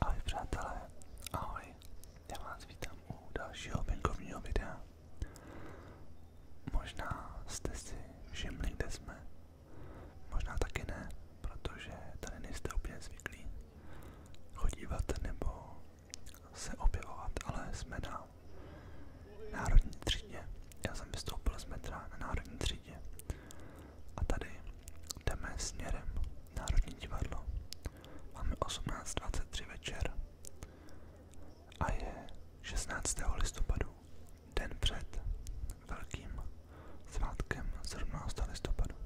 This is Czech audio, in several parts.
Ahoj přátelé, ahoj, já vás vítám u dalšího venkovního videa. Možná jste si všimli, kde jsme, možná taky ne, protože tady nejste úplně zvyklí chodívat nebo se objevovat, ale jsme na národní třídě. Já jsem vystoupil z metra na národní třídě. A tady jdeme směrem Národní divadlo. Máme 18.23 večer a je 16. listopadu, den před velkým svátkem 17. listopadu.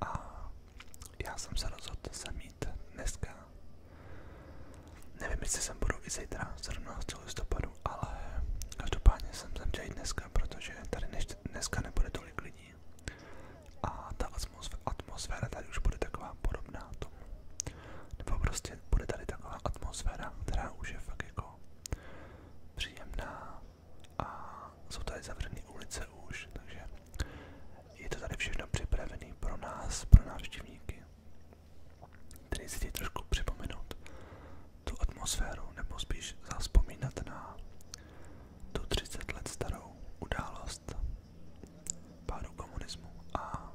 A já jsem se rozhodl sem jít dneska. Nevím, jestli sem budu i zítra, 17. listopadu, ale každopádně jsem sem chtěl jít dneska, protože tady než, dneska nebude tolik lidí. A ta atmosféra tady už bude taková podobná tomu. Nebo prostě bude tady taková atmosféra, která už je fakt jako příjemná a jsou tady zavřené ulice měsíce už, takže je to tady všechno připravené pro nás, pro návštěvníky. Tedy si chtějí trošku připomenout tu atmosféru, nebo spíš zaspomínat na tu 30 let starou událost pádu komunismu a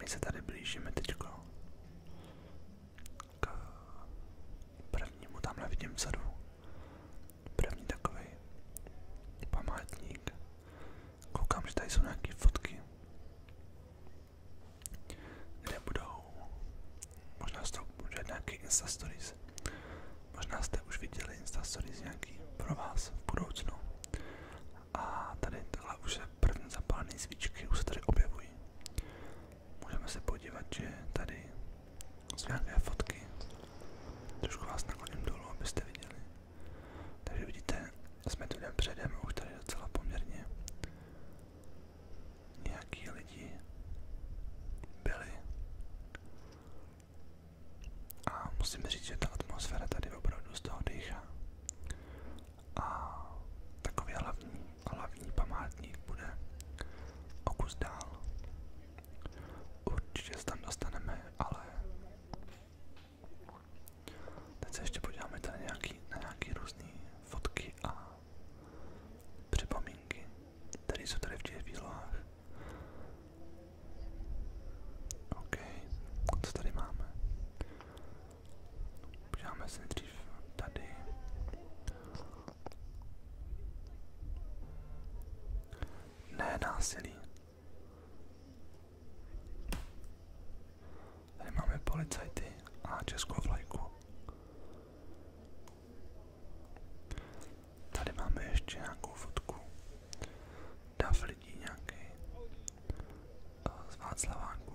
my se tady blížíme teď k prvnímu tamhle v sadu První takový památník. Koukám, že tady jsou nějaké fotky, kde budou, možná jste bude nějaký Insta Stories, možná jste už viděli Insta Stories nějaký pro vás v budoucnu. A tady takhle už je první zapálené svíčky, už se tady objevují. Můžeme se podívat, že tady jsou nějaké fotky. Trošku vás nakloním dolů, abyste viděli. Takže vidíte, jsme tu den předem, už tady docela poměrně nějaký lidi byli. A musím říct, že ta atmosféra tady opravdu z toho dýchá. A takový hlavní, hlavní památník bude o kus dál. Určitě se tam dostaneme, ale teď se ještě podíváme tady nějaký, na nějaké různé fotky a připomínky, které jsou tady v těch výlohách. OK, co tady máme? Podíváme se dřív tady ne násilí. Tady máme policajty a českou vlajku. Tady máme ještě nějakou fotku. Dav lidí nějaký eh, z Václaváku.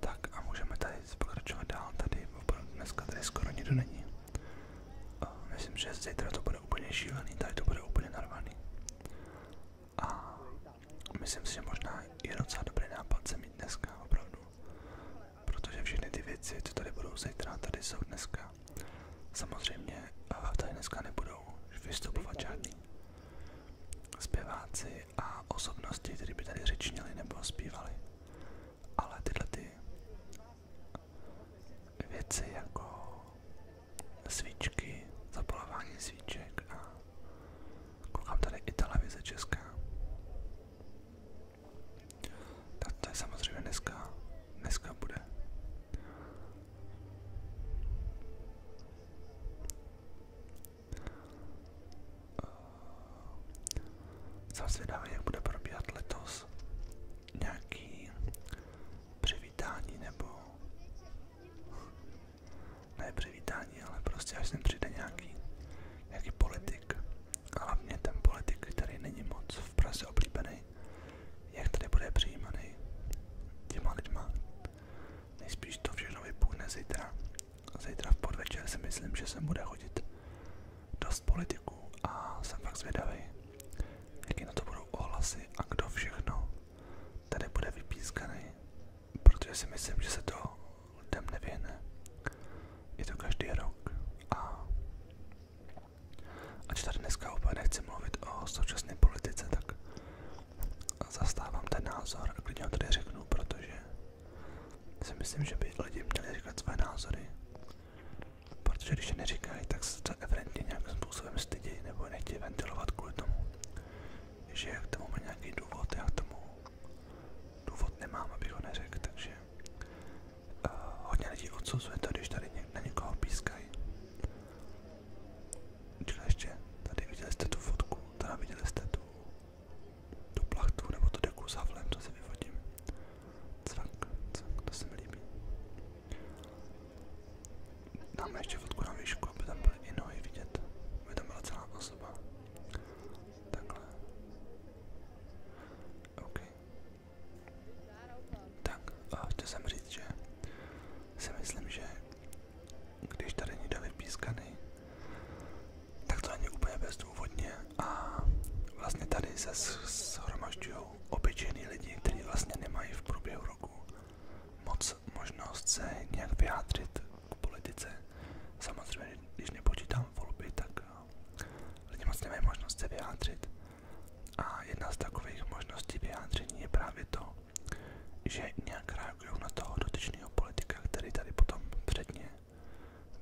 Tak a můžeme tady pokračovat dál. Tady dneska tady skoro nikdo není. Myslím, že zítra to bude úplně šílený, tady to bude úplně narvaný. A myslím si, že možná je docela dobrý nápad se mít dneska, opravdu. Protože všechny ty věci, co tady budou zítra, tady jsou dneska. Samozřejmě tady dneska nebudou vystupovat žádný zpěváci a osobnosti, které by tady řečnili nebo zpívali. Ale tyhle ty věci jako svíčky, zapalování svíček a koukám tady i televize česká. Tak to je samozřejmě dneska, dneska bude. Jsem zvědavý, jak bude probíhat letos nějaký přivítání nebo ne přivítání, ale prostě až sem přijde nějaký, nějaký politik. A hlavně ten politik, který není moc v Praze oblíbený, jak tady bude přijímaný těma lidma. Nejspíš to všechno vypůjde zítra. Zítra v podvečer si myslím, že sem bude chodit dost politiků a jsem fakt zvědavý, jaký na to budou ohlasy a kdo všechno tady bude vypískaný, protože si myslím, že se to lidem nevěne. Je to každý rok a ač tady dneska úplně nechci mluvit o současné politice, tak zastávám ten názor a klidně ho tady řeknu, protože si myslím, že by lidi měli říkat své názory Protože když je neříkají, tak se to evidentně nějakým způsobem stydí nebo nechtějí ventilovat kvůli tomu, že jak tomu má nějaký důvod, já tomu důvod nemám, abych ho neřekl, takže uh, hodně lidí odsuzuje to, když tady něk na někoho pískají. Počkej ještě, tady viděli jste tu fotku, teda viděli jste tu, tu plachtu nebo tu deku s havlem, co si vyvodím. Cvak, cvak, to se mi Dáme ještě fotku na výšku, aby tam byly i vidět, aby tam celá osoba. Takhle. OK. Tak, a chtěl jsem že myslím, že když tady někdo vypískaný, tak to není úplně bezdůvodně a vlastně tady se shromažďují jsou obyčejní lidi, kteří vlastně nemají v průběhu roku moc možnost se nějak vyjádřit k politice. Samozřejmě, když nepočítám volby, tak eh, lidi moc nemají možnost se vyjádřit. A jedna z takových možností vyjádření je právě to, že nějak reagují na toho dotyčného politika, který tady potom předně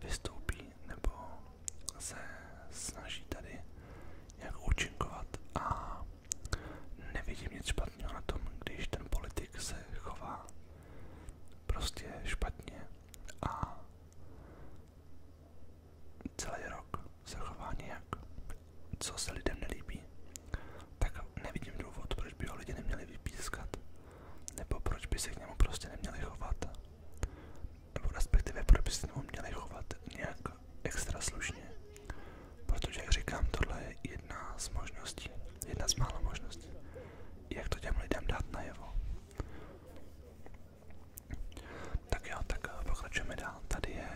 vystoupí nebo se snaží tady nějak účinkovat a nevidím nic špatného na tom, když ten politik se chová prostě špatně a celý rok se chová nějak, co se lidem nelíbí, tak nevidím důvod, proč by ho lidi neměli vypískat, nebo proč by se k němu prostě neměli chovat nebo respektive proč by se tomu měli chovat nějak extra slušně. Protože, jak říkám, tohle je jedna z možností, jedna z mála možností, jak to těm lidem dát najevo. Tak jo, tak eh, pokračujeme dál. Tady je,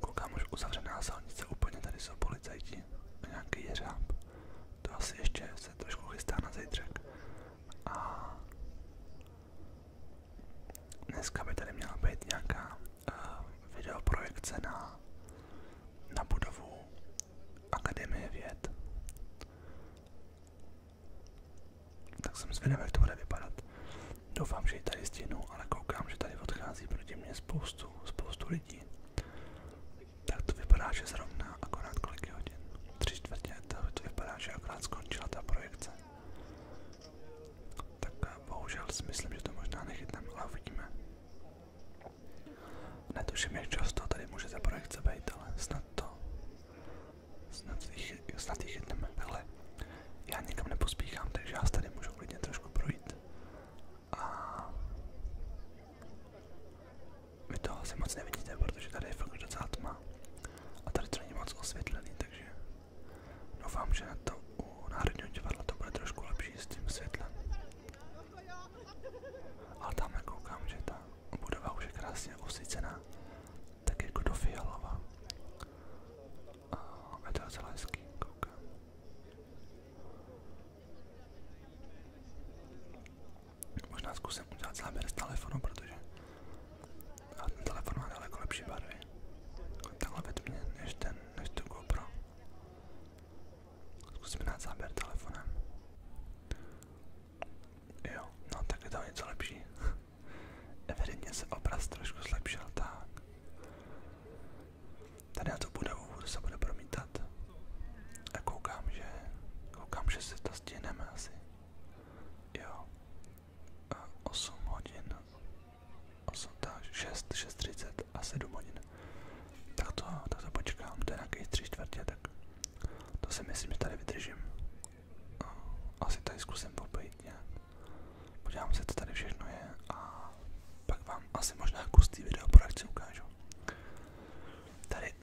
koukám už uzavřená silnice, úplně tady jsou policajti a nějaký jeřáb. To asi ještě se trošku chystá na zítřek. A Dneska by tady měla být nějaká uh, videoprojekce na, na budovu Akademie věd. Tak jsem zvědavý, jak to bude vypadat. Doufám, že ji tady stihnu, ale koukám, že tady odchází proti mě spoustu, spoustu lidí. Tak to vypadá, že zrovna akorát kolik je hodin tři čtvrtě, to, to vypadá, že akorát skončila ta projekce. Tak eh, bohužel si myslím, že to možná nechytneme, ale uvidíme. Netuším, jak často tady může ta projekce být, ale snad to, snad ji snad chytneme. Takhle, já nikam nepospíchám, takže já tady můžu klidně trošku projít. A vy to asi moc nevidíte, protože tady je fakt docela tma. A tady to není moc osvětlený, takže doufám, že na to u Národního divadla to bude trošku lepší s tím světlem. Ale tam jako koukám, že ta budova už je krásně osvícená, tak jako do fialova. A je to docela hezký, koukám. Možná zkusím udělat záběr z telefonu, protože a ten telefon má daleko lepší barvy. Takhle ve tmě, než ten, než tu GoPro. Zkusíme dát záběr telefonem. Jo, no tak je to něco lepší. Evidentně se obraz trošku zlepšil, tak. Tady na tu budovu se bude promítat. A koukám, že, koukám, že se to stihneme asi. Jo. A 8 hodin. 8, tak 6, 6.30 a 7 hodin. Tak to, tak to počkám, to je nějaký 3 čtvrtě, tak to si myslím, že tady vydržím. Asi tady zkusím popojit nějak. Podívám se, co tady všechno je a pak vám asi možná kus tý video poradce ukážu. Tady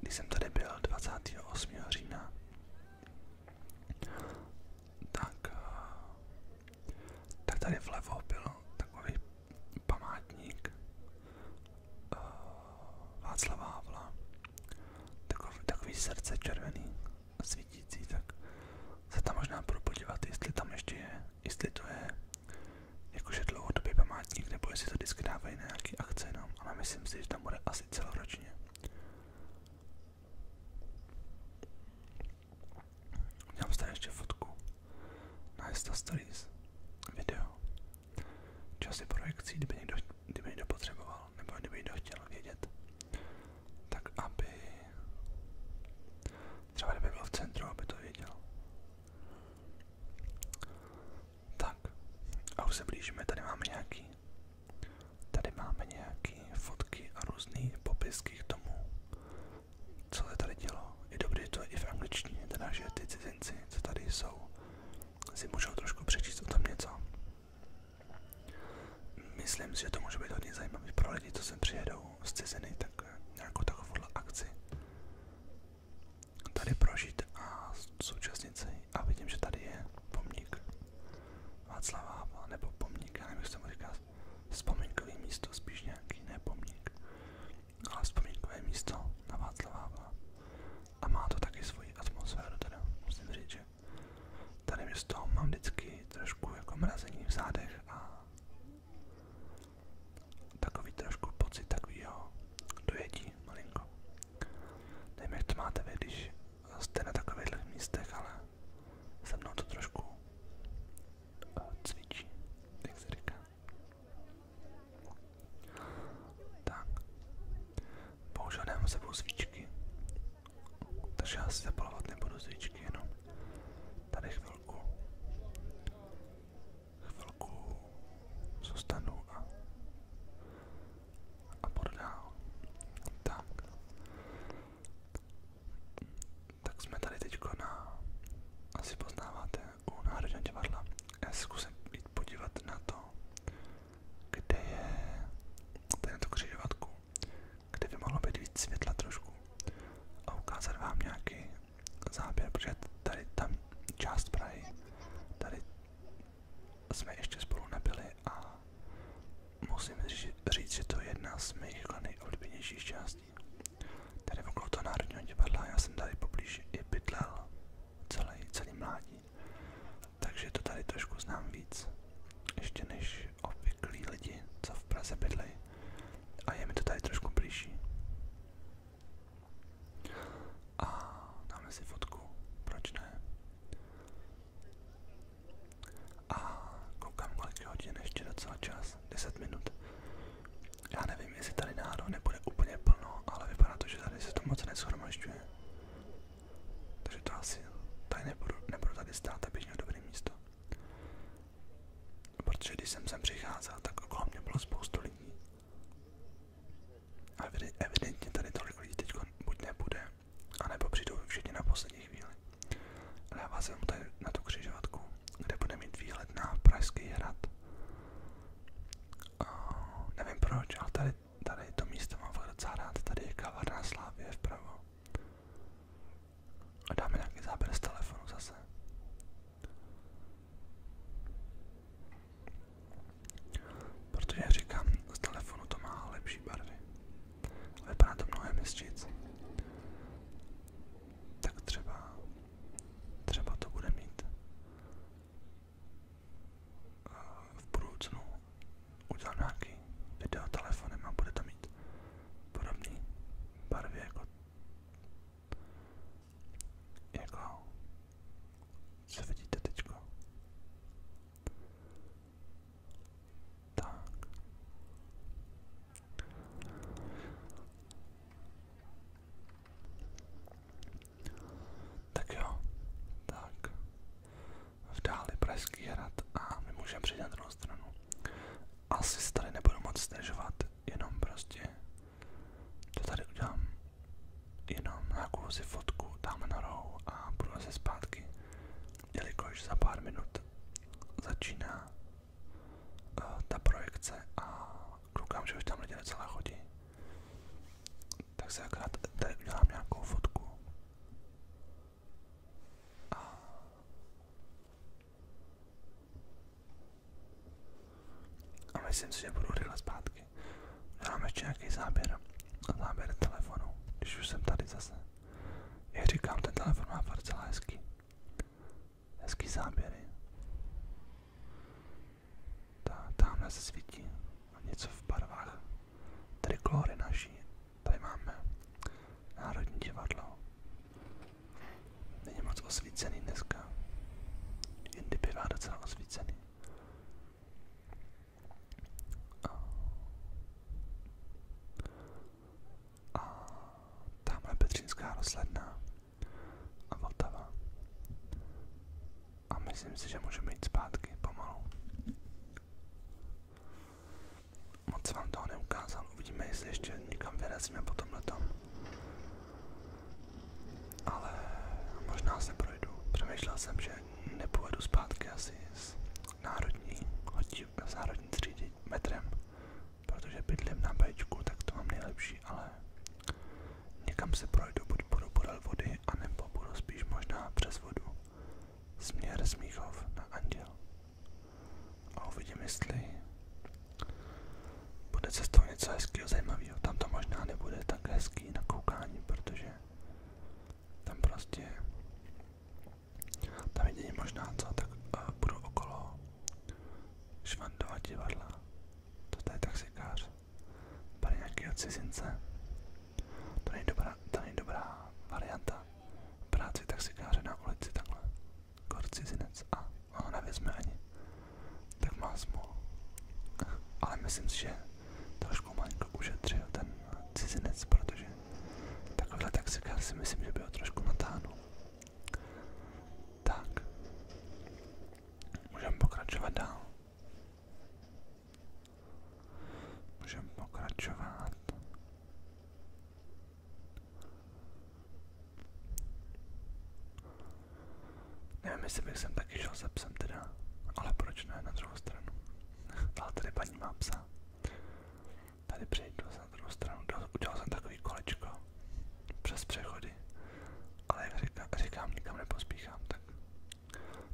když jsem tady byl 28. října, tak, eh, tak tady vlevo byl takový památník eh, Václava Havla, takový, takový srdce červený, svítící, tak se tam možná budu podívat, jestli tam ještě je, jestli to je jakože dlouhodobý památník, nebo jestli to vždycky dávají na nějaký akce jenom, ale myslím si, že tam bude asi celoročně. Měl jste ještě fotku na Insta Stories video. Časy projekcí, kdyby někdo, kdyby někdo potřeboval, nebo kdyby někdo chtěl vědět, tak aby třeba kdyby byl v centru, aby to věděl. Tak, a už se blížíme, tady máme nějaký, tady máme nějaký fotky a různý popisky k tomu, co se tady dělo. Je dobré to je i v angličtině, teda že ty cizinci, co tady jsou, si můžou trošku přečíst o tom něco. Myslím si, že to může být hodně zajímavý pro lidi, co sem přijedou z ciziny, tak nějakou takovouhle akci tady prožít a současnit se a vidím, že tady je pomník Václav Havel, nebo pomník, já nevím, jak se mu říká, vzpomínkový místo, spíš nějaký, ne pomník, ale vzpomínkové místo na Václava Havla. A má to taky svoji atmosféru, teda musím říct, že tady z toho mám vždycky trošku jako mrazení v zádech a takový trošku pocit takovýho dojetí malinko. Nevím, jak to máte vy, když jste na takových místech, ale se mnou to trošku eh, cvičí, jak se říká. Tak, bohužel nemám sebou svíčky, takže já si zapalovat nebudu svíčky, jenom tady chvilku, chvilku zůstanu a a pod dál. Tak. Tak jsme tady teďko na, asi poznáváte, u Národního divadla. Já se zkusím jít podívat na to, kde je, tady na to křižovatku, kde by mohlo být víc světla trošku a ukázat vám nějaký záběr, protože tady tam část Prahy, tady jsme ještě spolu nebyli a musím říct, že to je jedna z mých nejoblíbenějších částí. Tady okolo toho Národního divadla, já jsem tady poblíž i bydlel celý, celý mládí, takže to tady trošku znám víc, ještě než obvyklí lidi, co v Praze bydlejí a je mi to tady trošku blížší. A dáme si fotku, proč ne? A koukám kolik je hodin, ještě docela čas, 10 minut. Já nevím, jestli tady náhodou nebude úplně plno, ale vypadá to, že tady se to moc neshromažďuje. Takže to asi tady nebudu, nebudu tady stát, abych měl dobré místo. Protože když jsem sem přicházel, tak okolo mě bylo spoustu lidí. A evidentně tady tolik lidí teď buď nebude, a nebo přijdou všichni na poslední chvíli. Ale já vás jenom tady na tu křižovatku, kde bude mít výhled na Pražský hrad. A nevím proč, ale tady, tady to místo mám fakt docela rád. Tady je kavarna Slávě vpravo. A dáme nějaký záběr z telefonu zase. Protože říkám, z telefonu to má lepší barvy. Vypadá to mnohem hezčíc. Tak třeba, třeba to bude mít eh, v budoucnu udělám nějaký video telefonem a bude to mít podobný barvy jako jako co vidíte teďko. Tak. Tak jo, tak v dáli Pražský hrad a my můžeme přijít na druhou stranu. Asi se tady nebudu moc stěžovat, jenom prostě to tady udělám jenom nějakou si fotku dáme na rohu a budu se zpátky, jelikož za pár minut začíná uh, ta projekce a koukám, že už tam lidé docela chodí. Tak se akorát tady udělám nějakou fotku. A a myslím si, že budu rychle zpátky zpátky. Udělám ještě nějaký záběr. Záběr telefonu, když už jsem tady zase. Jak říkám, ten telefon má docela hezký. Hezký záběry. Ta, tamhle se svítí. A něco v barvách. Tady klory naší. Tady máme Národní divadlo. Není moc osvícený dneska. Jindy bývá docela osvícený. A tamhle Petřínská rozhledna a Vltava. A myslím si, že můžeme jít zpátky pomalu. Moc vám toho uvidíme, jestli ještě někam vyrazíme po tomhle tom. Ale možná se projdu. Přemýšlel jsem, že nepojedu zpátky asi z národní, z národní třídy metrem, protože bydlím na Bčku, tak to mám nejlepší, ale někam se projdu, buď budu podél vody, anebo budu spíš možná přes vodu. Směr Smíchov na Anděl. A uvidím, jestli bude cestou něco hezkého, zajímavého. Tam to možná nebude tak hezký na koukání, protože tam prostě, tam jedině možná co, tak budu eh, okolo Švandova divadla, to je taxikář, tady nějakého cizince, to není dobrá, to není dobrá varianta, práci taxikáře na ulici takhle, kor cizinec a ono nevezme ani, tak má ale myslím si, trošku malinko ušetřil ten cizinec, protože takovýhle taxikář si myslím, že by trošku natáhnul. Tak, můžeme pokračovat dál. pokračovat. Nevím, jestli bych sem taky šel se psem teda, ale proč ne na druhou stranu ale tady paní má psa. Tady přejdu na druhou stranu, udělal jsem takový kolečko přes přechody, ale jak říkám, říkám nikam nepospíchám, tak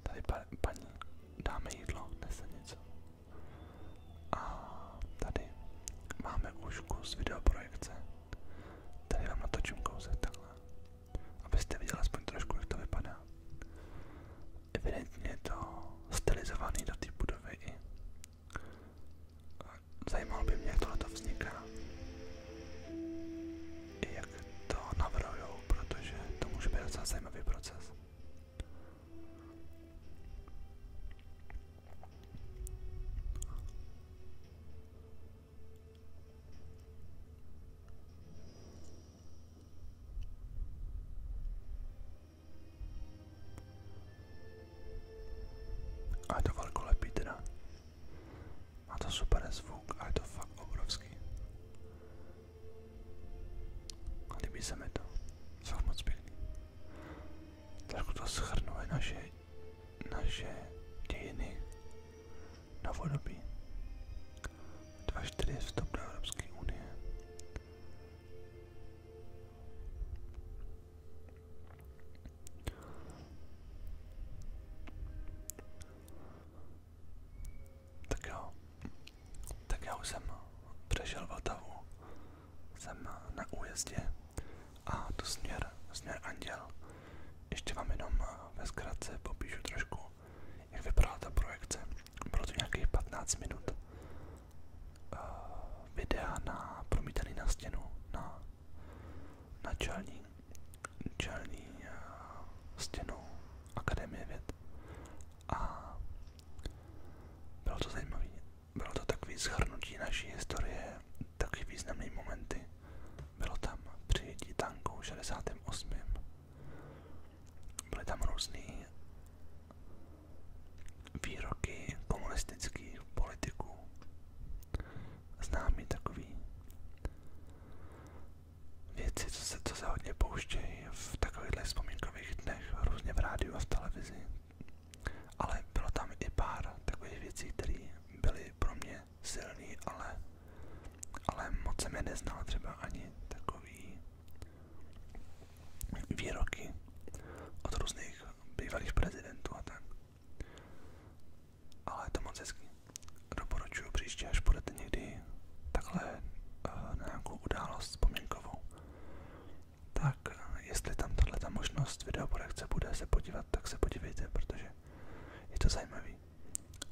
tady pa, paní dáme jídlo, nese něco. A tady máme už kus videoprojekce, tady vám natočím kousek takhle, abyste viděli aspoň trošku, jak to vypadá evidentně je to stylizovaný do té budovy i zajímalo by mě, jak tohle to vzniká i jak to navrhujou, protože to může být docela zajímavý proces. A je to velkolepý teda. Má to super zvuk a je to fakt obrovský. A líbí se mi to. Fakt moc pěkný. Trošku to schrnuje naše, naše dějiny na vodobí. 2.4 jsem přešel Vltavu, jsem na újezdě a to směr, směr Anděl. Ještě vám jenom ve zkratce popíšu trošku jak vypadala ta projekce. Bylo to nějakých 15 minut uh, videa na promítaný na stěnu, na, na čelní, čelní uh, stěnu Akademie věd. A bylo to zajímavé. Bylo to takové zhrnutí naší historie, taky významné momenty. Bylo tam přijetí tanku 68. Byly tam různé výroky komunistických politiků, známý takový věci, co se, co se hodně pouštějí v takových vzpomínkových dnech, různě v rádiu a v televizi. Ale bylo tam i pár takových věcí, které byly pro mě silné, ale, ale moc jsem je neznal třeba ani takový výroky od různých bývalých prezidentů a tak. Ale je to moc hezký. Doporučuji příště, až budete někdy takhle eh, na nějakou událost vzpomínkovou. Tak, eh, jestli tam tahle ta možnost videoprojekce bude se podívat, tak se podívejte, protože je to zajímavý.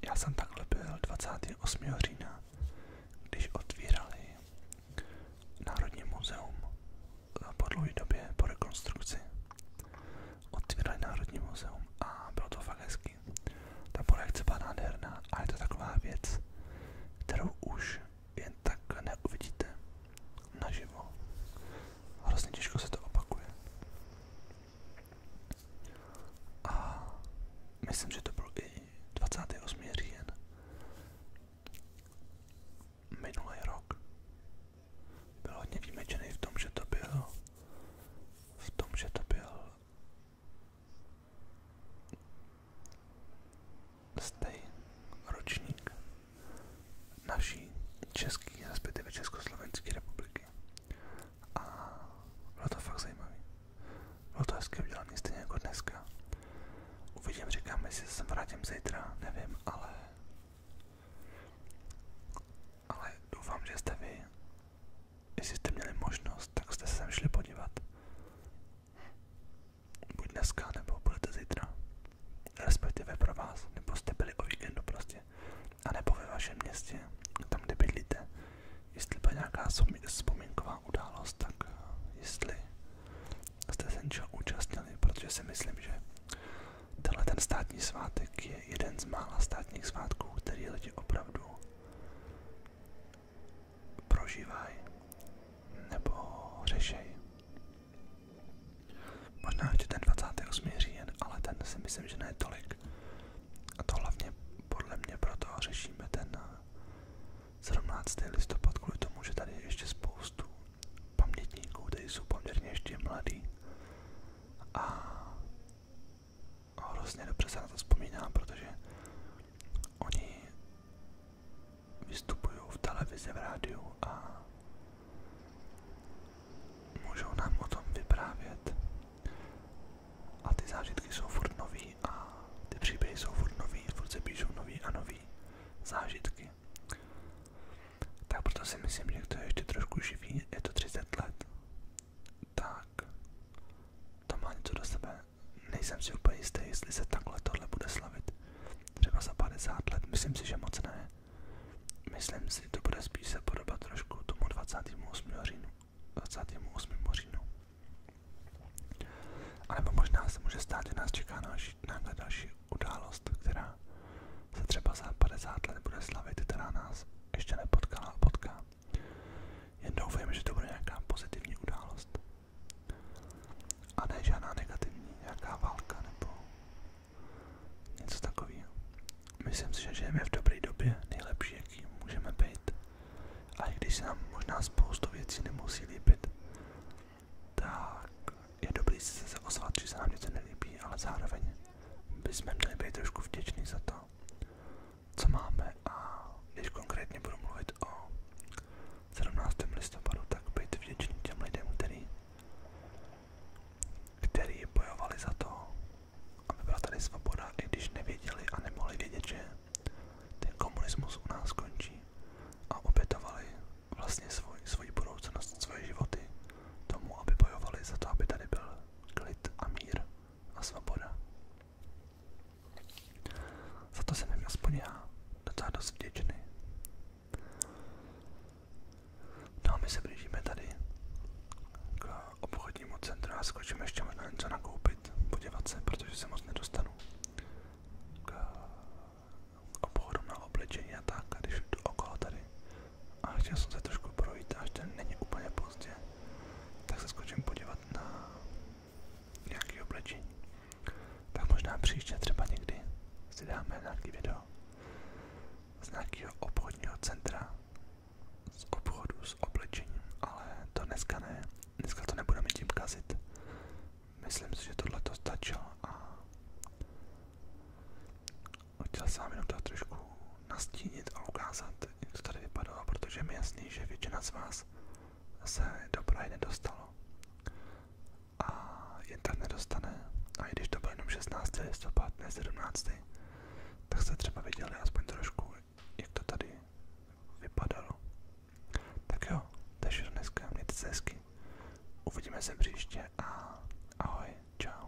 Já jsem takhle byl 28. října když otvírali Národní muzeum po dlouhé po rekonstrukci. Otvírali Národní muzeum a bylo to fakt Ta projekce byla nádherná a to taková věc, kterou už jen tak neuvidíte naživo. Hrozně těžko se to opakuje. A myslím, že to byl i 28. říjen. Minulý rok byl hodně výjimečný v tom, že to byl v tom, že to byl stej ročník naší české, respektive Československé republiky. A bylo to fakt zajímavé. Bylo to hezky udělaný, stejně jako dneska. Uvidím, říkám, jestli se vrátím zítra, nevím, ale... Ale doufám, že jste vy, jestli jste měli možnost, tak jste se sem podívat. Buď dneska, nebo budete zítra. Respektive pro vás, nebo byli o víkendu prostě. A nebo ve vašem městě, tam kde bydlíte. Jestli nějaká vzpomínková událost, tak eh, jestli jste se něčeho účastnili, protože si myslím, že tenhle ten státní svátek je jeden z mála státních svátků, který lidi opravdu prožívají nebo řešejí. Možná ještě ten 28. říjen, ale ten si myslím, že ne tolik. A to hlavně podle mě proto řešíme ten 17. listopad kvůli tomu, že tady je ještě spoustu pamětníků, tady jsou poměrně ještě mladí a hrozně dobře se na to vzpomíná, protože oni vystupují v televizi, v rádiu a můžou nám o tom vyprávět a ty jsou furt nový a ty příběhy furt nový, furt se píšou a nový zážitky. Tak proto si myslím, že to je trošku živý, je to 30 let. Tak to má něco do sebe. Nejsem si jestli se takhle tohle bude slavit. Třeba za let, myslím si, že moc ne. Myslím si, to bude spíš se podobat trošku tomu 28. říjnu. 28. říjnu. A nebo možná se může stát, že nás čeká další, náhle další událost, která se třeba za 50 let bude slavit, která nás ještě nepotkala a potká. Jen doufejme, že to bude nějaká pozitivní událost. A ne žádná negativní, nějaká válka nebo něco takového. Myslím si, že žijeme v dobré době, nejlepší, jaký můžeme být. A i když se nám možná spoustu věcí nemusí líbit, tak je dobrý si zase ozvat, že se nám něco nelíbí, ale zároveň bychom měli být trošku vděční za to, co máme a když konkrétně budu mluvit o 17. listopadu, tak být vděčný těm lidem, který, který bojovali za to, aby byla tady svoboda, i když nevěděli a nemohli vědět, že ten komunismus u nás končí a obětovali vlastně svoj, svoji budoucnost, svoje životy tomu, aby bojovali za to, aby tady byl klid a mír a svoboda. Za to jsem jim aspoň já docela dost vděčný. No a my se blížíme tady k obchodu obchodnímu centru a skočím ještě možná něco nakoupit, podívat se, protože se moc nedostanu k obchodu na oblečení a tak, a když jdu okolo tady a chtěl jsem se trošku projít, až ten není úplně pozdě, tak se skočím podívat na nějaký oblečení. Tak možná příště třeba někdy si dáme nějaký video z nějakého obchodního centra, z obchodu s oblečením, ale to dneska ne dneska to nebudeme tím kazit. Myslím si, že tohle to stačilo a chtěl jsem vám jenom to trošku nastínit a ukázat, jak to tady vypadalo, protože mi jasný, že většina z vás se do Prahy nedostalo a jen tak nedostane. A i když to bylo jenom 16. listopad, ne 17. tak jste třeba viděli aspoň trošku, jak to tady vypadalo. Tak jo, to je všechno dneska, mějte se hezky. Uvidíme se příště a ahoj, čau.